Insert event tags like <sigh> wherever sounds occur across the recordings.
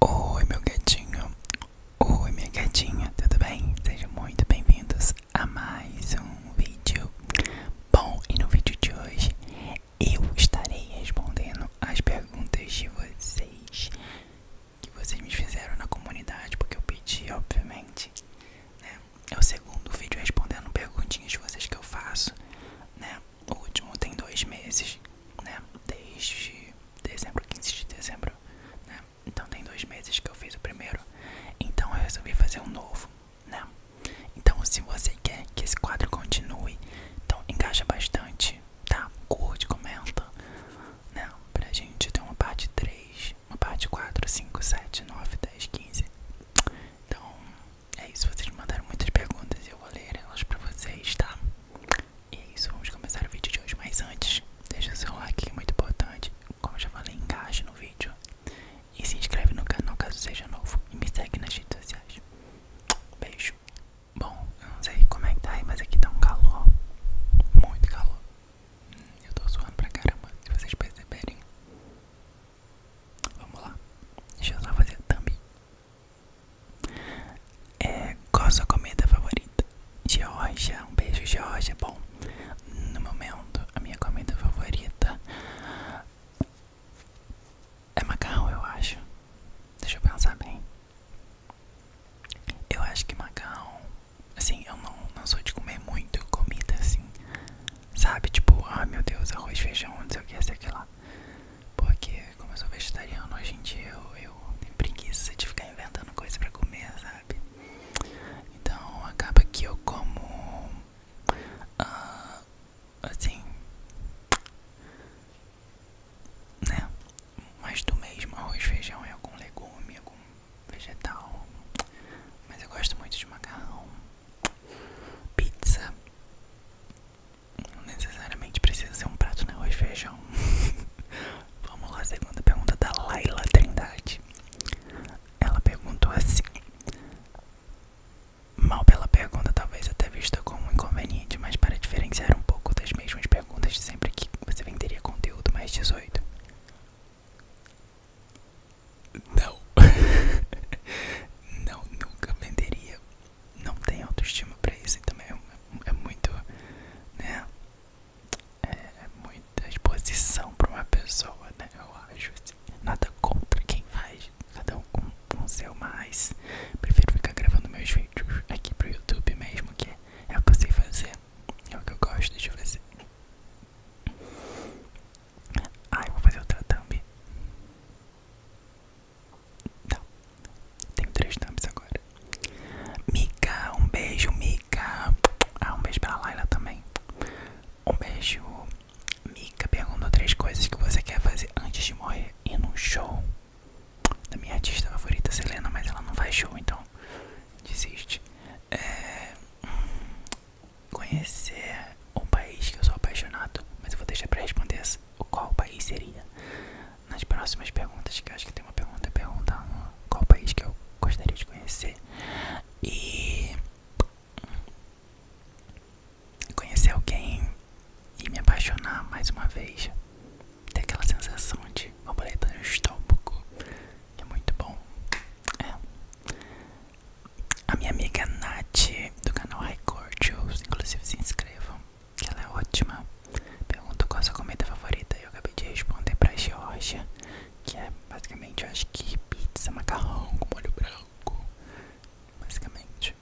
Oi, meu gatinho. Oi, minha gatinha. Tudo bem? Sejam muito bem-vindos a mais um vídeo. Bom, e no vídeo de hoje eu estarei respondendo as perguntas de vocês que vocês me fizeram na comunidade, porque eu pedi, obviamente. Né, é o segundo vídeo respondendo perguntinhas de vocês que eu faço, né o último tem dois meses, né? Desde dezembro, 15 de dezembro, né? Então tem dois meses que eu fiz o primeiro. Então eu resolvi fazer um novo, né? Então se você quer que esse quadro continue, então engaja bastante, tá? Curte, comenta, né? Pra gente ter uma parte 3, uma parte 4, 5, 7, 9, 10, 15. Então é isso, vocês mandaram muitas perguntas e eu vou ler elas pra vocês, tá? E é isso, vamos começar o vídeo de hoje. Mas antes, deixa o seu like, que é muito importante. Como eu já falei, engaje no vídeo. E se inscreve no canal caso seja novo. E me segue nas redes sociais. Beijo. Bom, eu não sei como é que tá aí, mas aqui tá um calor. Muito calor. Hum, eu tô suando pra caramba, se vocês perceberem. Vamos lá. Deixa eu só fazer a thumb. É, qual a sua comida favorita? Georgia, um beijo Georgia. Bom, no momento a minha comida favorita é macarrão, eu acho. Deixa eu pensar bem. Eu acho que macarrão, assim, eu não, não sou de comer muito comida assim, sabe? Tipo, ah meu Deus, arroz, feijão, não sei o que, sei o lá. Porque como eu sou vegetariano a gente dia eu, eu tenho preguiça de ficar inventando coisas pra comer, sabe? Então acaba que eu como uh, assim né? Mais do mesmo arroz, feijão e algum legume, algum vegetal. Mas eu gosto muito de macarrão, pizza, não necessariamente precisa ser um prato, né? Hoje feijão. <laughs> Vamos lá, segunda pergunta da Laila Trindade. Ela perguntou assim. Mal pela pergunta, talvez até vista como inconveniente, mas para diferenciar um pouco das mesmas perguntas de sempre que você venderia conteúdo mais 18. Não. <laughs> Não, nunca venderia não tem autoestima pra isso, e também é, é muito, né, é, é muita exposição pra uma pessoa, né, eu acho, assim, nada contra quem faz, cada um com, o seu, mas prefiro ficar gravando meus vídeos aqui pro YouTube mesmo, que é, o que eu sei fazer, é o que eu gosto de fazer. Ah, eu vou fazer outra thumb. Não, tá. tenho três thumbs agora. Mika, um beijo, Mika. Ah, um beijo pra Laila também. Um beijo. Mika perguntou três coisas que você quer fazer antes de morrer e num show. Da minha artista favorita, Selena, mas ela não faz show, então desiste. É, hum, conhecer um país que eu sou apaixonado, mas eu vou deixar pra responder essa qual país seria? Nas próximas perguntas, que acho que tem uma pergunta perguntar qual país que eu gostaria de conhecer e conhecer alguém e me apaixonar mais uma vez. Ter aquela sensação de borboleta no estômago. É muito bom. É. A minha amiga Nath do canal High Cordials, inclusive se inscrevam ela é ótima. Pergunto qual a sua comida favorita. Eu acabei de responder pra Georgia, que é basicamente, eu que pizza, macarrão com molho branco. Basicamente.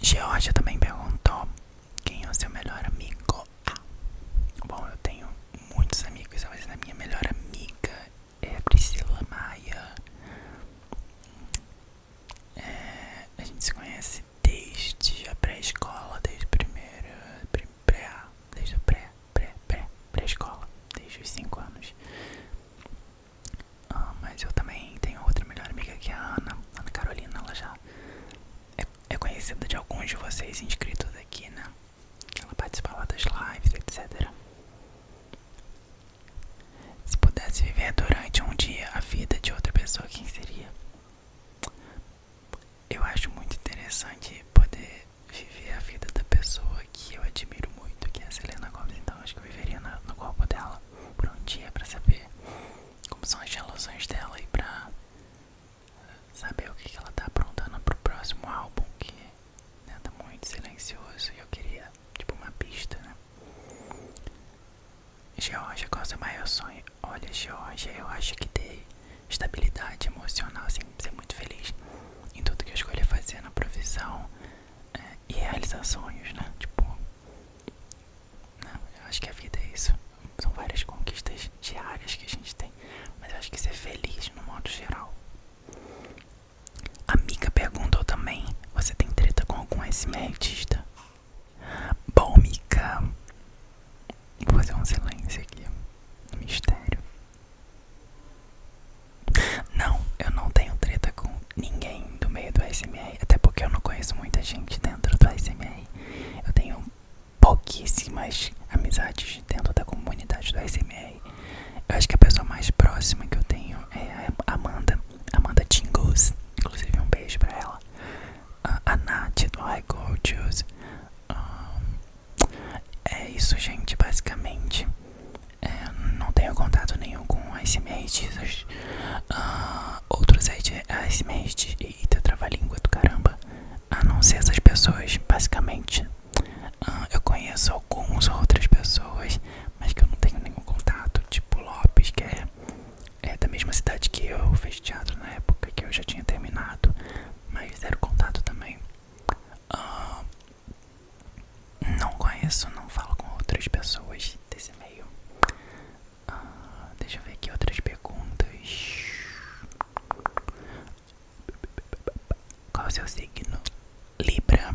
Georgia também perguntou quem é o seu melhor amigo. Ah, bom, eu tenho muitos amigos, mas a minha melhor amiga é a Priscila Maia. É, a gente se conhece desde a pré-escola, desde a primeira. pré ah, desde a pré, pré, pré, pré-escola, desde os 5 anos. Ah, mas eu também tenho outra melhor amiga que é a Ana, Ana Carolina, ela já é, é conhecida de alguns de vocês inscritos aqui, né? Ela participava das lives, etc. Se pudesse viver durante um dia a vida de outra pessoa, quem seria? Eu acho muito interessante poder viver a vida da pessoa que eu admiro muito, que é a Selena Gomez. Então acho que eu viveria no corpo dela por um dia para saber como são as relações dela e pra saber o que, que ela tá aprontando pro próximo álbum que né, tá muito silencioso e eu queria tipo uma pista, né? Georgia, qual é o seu maior sonho? Olha, Georgia, eu acho que ter estabilidade emocional, assim, ser muito feliz em tudo que eu escolher fazer na provisão é, e realizar sonhos, né? Tipo, né? eu acho que a vida é isso. São várias conquistas diárias que a gente tem, mas eu acho que ser feliz no modo geral Amiga perguntou também: Você tem treta com algum artista? Bom, Mica, vou fazer um silêncio aqui. Um mistério. Não, eu não tenho treta com ninguém do meio do SMR. Até porque eu não conheço muita gente dentro do SMR. Eu tenho pouquíssimas amizades dentro da comunidade do SMR. Eu acho que a pessoa mais próxima que eu tenho é, Amanda, Amanda Jingles, inclusive um beijo pra ela. A, a Nath do I Go Juice. é isso, gente, basicamente. É, não tenho contato nenhum com Icemakers, uh, outros Icemates e trava-língua do caramba, a não ser essas pessoas, basicamente. eu conheço algumas outras pessoas, mas que eu não tenho nenhum contato. Tipo Lopes, que é, é, da mesma cidade que eu fez teatro na época que eu já tinha terminado, mas zero contato também. Ah, não conheço, não falo com outras pessoas desse meio. Ah, deixa eu ver aqui outras perguntas. Qual é o seu signo? Libra.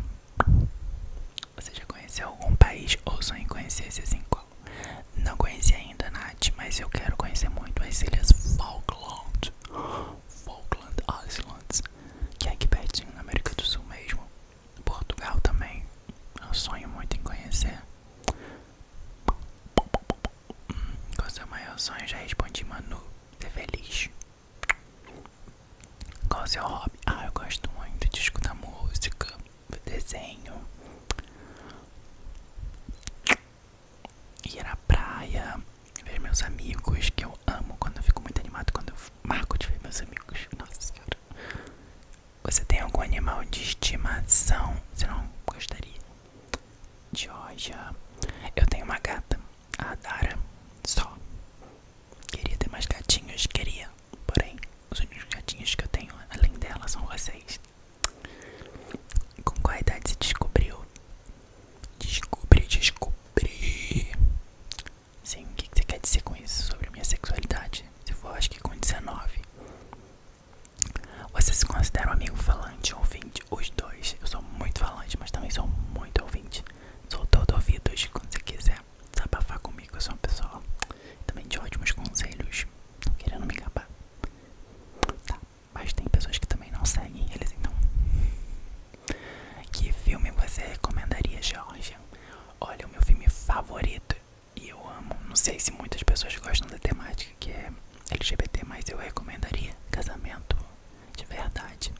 Você já conheceu algum país ou sonha em conhecer esses em qual? Não conheci ainda, Nath, mas eu quero conhecer muito as ilhas Falkland, Falkland Islands, que é aqui pertinho na América do Sul mesmo. Portugal também, eu sonho muito em conhecer. Hum, qual é o seu maior sonho? Já respondi, Manu, ser feliz. Qual o seu hobby? Ah, eu gosto muito de escutar música, desenho, ir à praia, ver meus amigos, que eu amo quando eu fico muito animado, quando eu marco de ver meus amigos. Nossa senhora. Você tem algum animal de estimação? Você não gostaria? Georgia. Eu tenho uma gata, a Dara. Só. Queria ter mais gatinhos, queria. Porém, os únicos gatinhos que eu tenho além dela são vocês. Com qual idade se descobriu? Descobri, descobri. Sim, o que você quer dizer com isso sobre a minha sexualidade? Se for, acho que com 19. Você se considera um amigo falante ou ouvinte? Os dois. Eu sou muito falante, mas também sou muito ouvinte. Sou todo ouvido hoje, quando você quiser desabafar comigo. Eu sou uma pessoa também de ótimos conselhos, não querendo me gabar. Tá, mas tem pessoas que também não seguem eles, então. Que filme você recomendaria, Georgia? Olha, o meu filme favorito, e eu amo, não sei se muitas pessoas gostam da temática que é LGBT, mas eu recomendaria Casamento de Verdade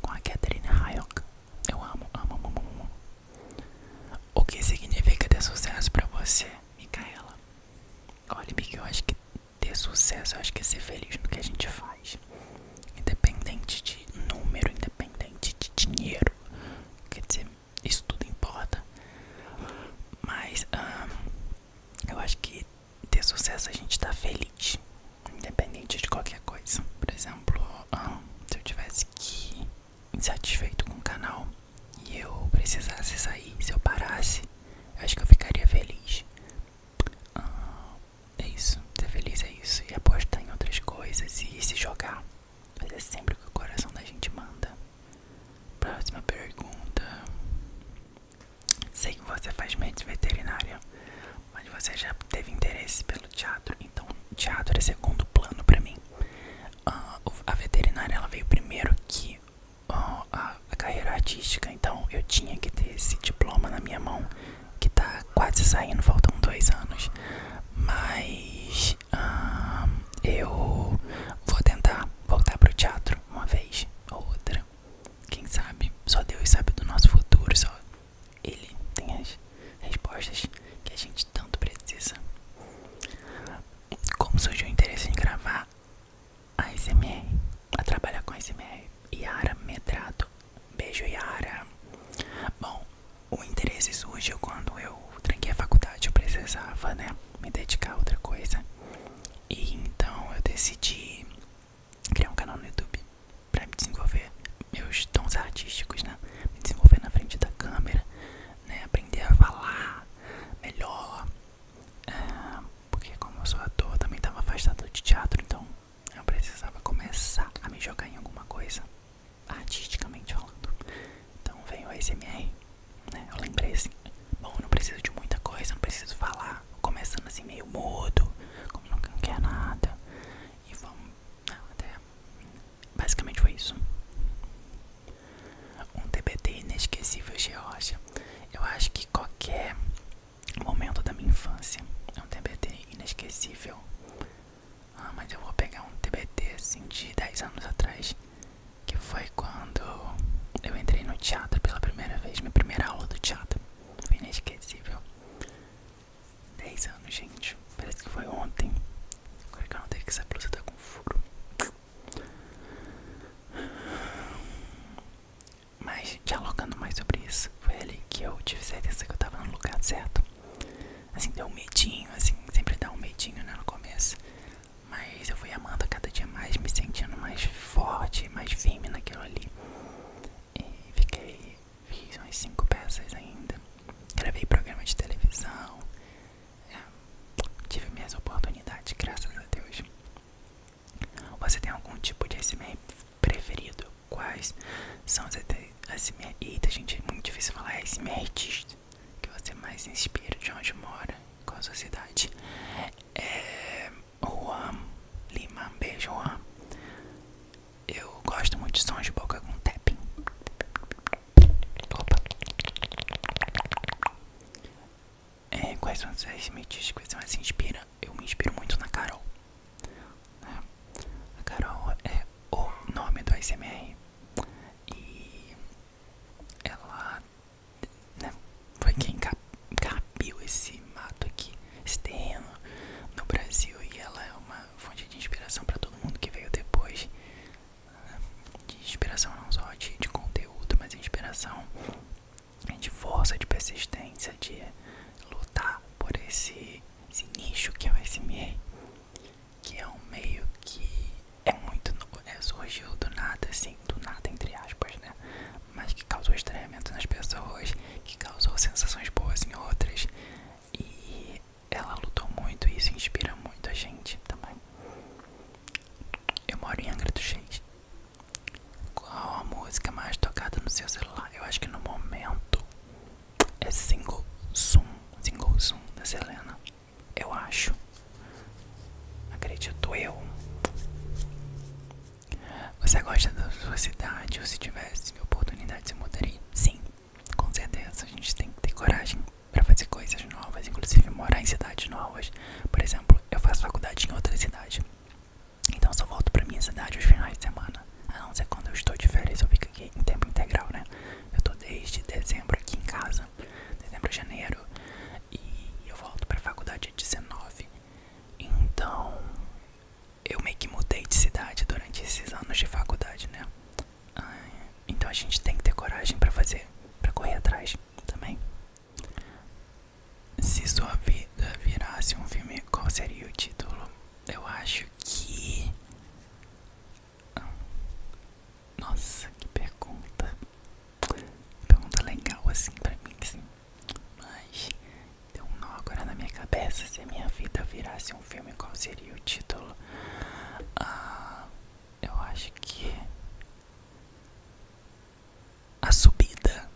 com a Catherine Hayok. Eu amo, amo, amo, amo. O que significa ter sucesso pra você, Micaela? Olha, Mica, eu acho que ter sucesso, eu acho que é ser feliz no que a gente faz. Independente de número, independente de dinheiro. Quer dizer, isso tudo importa. Mas, eu acho que ter sucesso a gente tá feliz independente de qualquer coisa. Por exemplo, ah, se eu tivesse que insatisfeito com o canal e eu precisasse sair, se eu parasse, eu acho que eu ficaria feliz. Ah, é isso, ser feliz é isso. E apostar em outras coisas e se jogar. Mas é sempre o que o coração da gente manda. Próxima pergunta. Sei que você faz mente veterinária, mas você já teve interesse pelo teatro, então o teatro era é segundo plano para mim. Ah, a veterinária ela veio primeiro que a, carreira artística, então eu tinha que ter esse diploma na minha mão, que tá quase saindo, faltam dois anos. Mas ah, eu vou tentar voltar pro teatro uma vez ou outra. Quem sabe? Só Deus sabe do nosso futuro, só ele tem as respostas que a gente tanto precisa. Como surgiu o interesse em gravar a SMR, a trabalhar com a SMR? Yara Medrado. Beijo, Yara. Bom, o interesse surgiu quando eu tranquei a faculdade. Eu precisava, né? Me dedicar a outra coisa. E então eu decidi criar um canal no YouTube para me desenvolver meus tons artísticos, né? Me desenvolver na frente da câmera, né? Aprender a falar melhor. É, porque como eu sou ator, também estava afastado de teatro, então eu precisava começar a me jogar em alguma coisa, artisticamente falando. Então veio a SMR, né? Eu lembrei assim, bom, eu não preciso de muita coisa, não preciso falar, começando assim meio mudo, como não quer nada. E vamos. Não, ah, até. Basicamente foi isso. Um TBT inesquecível de rocha. Eu acho que qualquer momento da minha infância é um TBT inesquecível. Ah, mas eu vou pegar um TBT assim de 10 anos atrás. Que foi quando eu entrei no teatro pela primeira vez. Minha primeira aula do teatro. Foi inesquecível. 10 anos, gente. Parece que foi ontem. Agora que eu não tenho que essa blusa tá com furo. Mas dialogando mais sobre isso, foi ali que eu tive certeza que eu tava no lugar certo. Assim, deu um medinho, assim, sempre dá um medinho né, no começo. Mas eu fui amando cada dia mais, me sentindo mais forte, mais firme naquilo ali e fiquei, fiz umas 5 peças ainda. Gravei programa de televisão, é, tive minhas oportunidades, graças a Deus. Você tem algum tipo de SMR preferido? Quais são os SMR? Eita, gente, é muito difícil falar é SMR Que você mais inspira de onde mora? Qual a sua cidade? É, o Juan Lima, beijo Juan. Eu gosto muito de sons de boca com tapping. Opa. É, quais são as mídias que você mais se inspira? Eu me inspiro muito na Carol. É, a Carol é o nome do ASMR. E ela né, foi quem cap carpiu esse mato aqui, esse terreno no Brasil e ela é uma fonte de inspiração para todo mundo que veio depois. Né? De inspiração não só de, de conteúdo, mas inspiração de força, de persistência, de lutar por esse, nicho que é o SME, que é um meio que é muito novo, é, surgiu do nada, assim, do nada entre aspas, né? mas que causou estranhamento nas pessoas, que causou sensações boas em outras. E ela lutou muito e isso inspira muito a gente também. Eu moro em Angra do Reis. Qual a música mais tocada no seu celular? Eu acho que no momento é Single Zoom, Single Zoom da Selena. Eu acho. Acredito eu. Você gosta da sua cidade? Ou se tivesse oportunidade, você mudaria? Sim, com certeza. A gente tem que ter coragem para fazer coisas novas, inclusive morar em cidades novas. Por exemplo, eu faço faculdade em outra cidade. Então só volto pra minha cidade aos finais de semana. A não ser quando eu estou de férias, eu fico aqui em tempo integral, né? Eu tô desde dezembro aqui em casa, dezembro a janeiro, e eu volto pra faculdade dia 19. Então, eu meio que mudei de cidade durante esses anos de faculdade, né? Ah, então a gente tem que ter coragem para fazer, para correr atrás também. Se sua vida virasse um filme, qual seria o título? Eu acho que. Ah, nossa, que pergunta. Pergunta legal assim pra mim, sim. Mas Deu um nó agora na minha cabeça. Se a minha vida virasse um filme, qual seria o título? Ah, eu acho que. A Subida.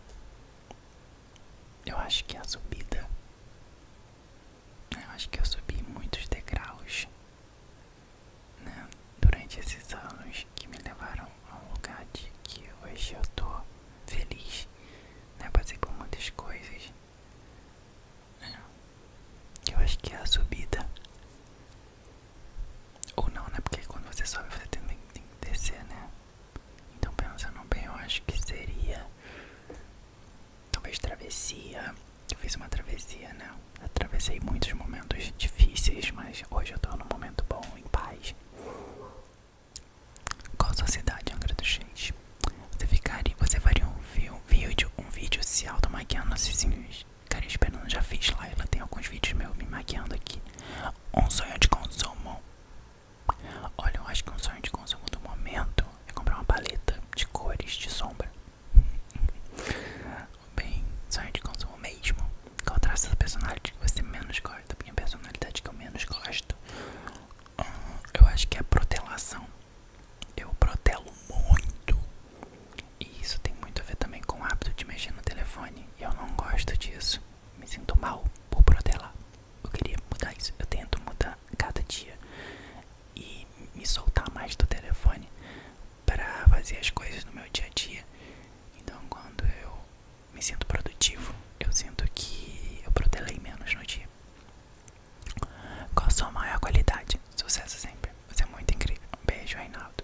Eu acho que é a Subida. Eu acho que eu subi muitos degraus né, durante esses anos que me levaram a um lugar de que hoje eu tô feliz, né? Passei por muitas coisas. É. Eu acho que é a subida. Ou não, né? Porque quando você sobe, você também tem que descer, né? Então pensando bem, eu acho que seria talvez travessia. Eu fiz uma travessia, né? Atravessei muitos momentos difíceis, mas hoje eu tô num momento bom, em paz. Qual sua cidade, Angra do Reis? Você ficaria, você faria um, vídeo, um vídeo se automaquiando assim, assim cara esperando, já fiz lá, ela tem alguns vídeos meus me maquiando aqui. Um sonho de consumo. Olha, eu acho que um sonho de consumo do momento é comprar uma paleta de cores de sombra. <laughs> Bem, sonho de consumo mesmo. Qual traço do personagem que você menos gosta? da minha personalidade que eu menos gosto, ah, eu acho que é a protelação. Eu protelo muito. E isso tem muito a ver também com o hábito de mexer no telefone. E eu não gosto disso. Me sinto mal por protelar. Eu queria mudar isso. Eu tento mudar cada dia e me soltar mais do telefone para fazer as coisas no meu dia a dia. Então, quando eu me sinto produtivo. Eu sinto que eu protelei menos no dia. Qual a sua maior qualidade? Sucesso sempre. Você é muito incrível. Um beijo, Reinaldo.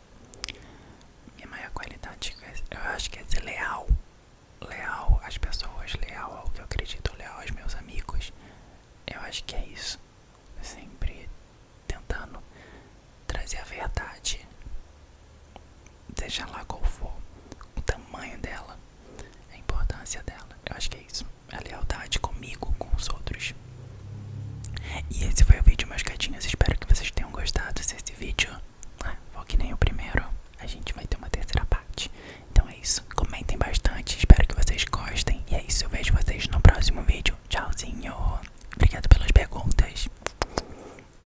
Minha maior qualidade, eu acho que é ser leal. Leal às pessoas, leal ao que eu acredito, leal aos meus amigos. Eu acho que é isso. Sempre tentando trazer a verdade seja lá qual for o tamanho dela, a importância dela. Eu acho que é isso. A lealdade comigo, com os outros. E esse foi o vídeo, meus gatinhos. Espero que vocês tenham gostado. Se esse vídeo for ah, que nem o primeiro, a gente vai ter uma terceira parte. Então é isso. Comentem bastante. Espero que vocês gostem. E é isso. Eu vejo vocês no próximo vídeo. Tchauzinho. Obrigado pelas perguntas.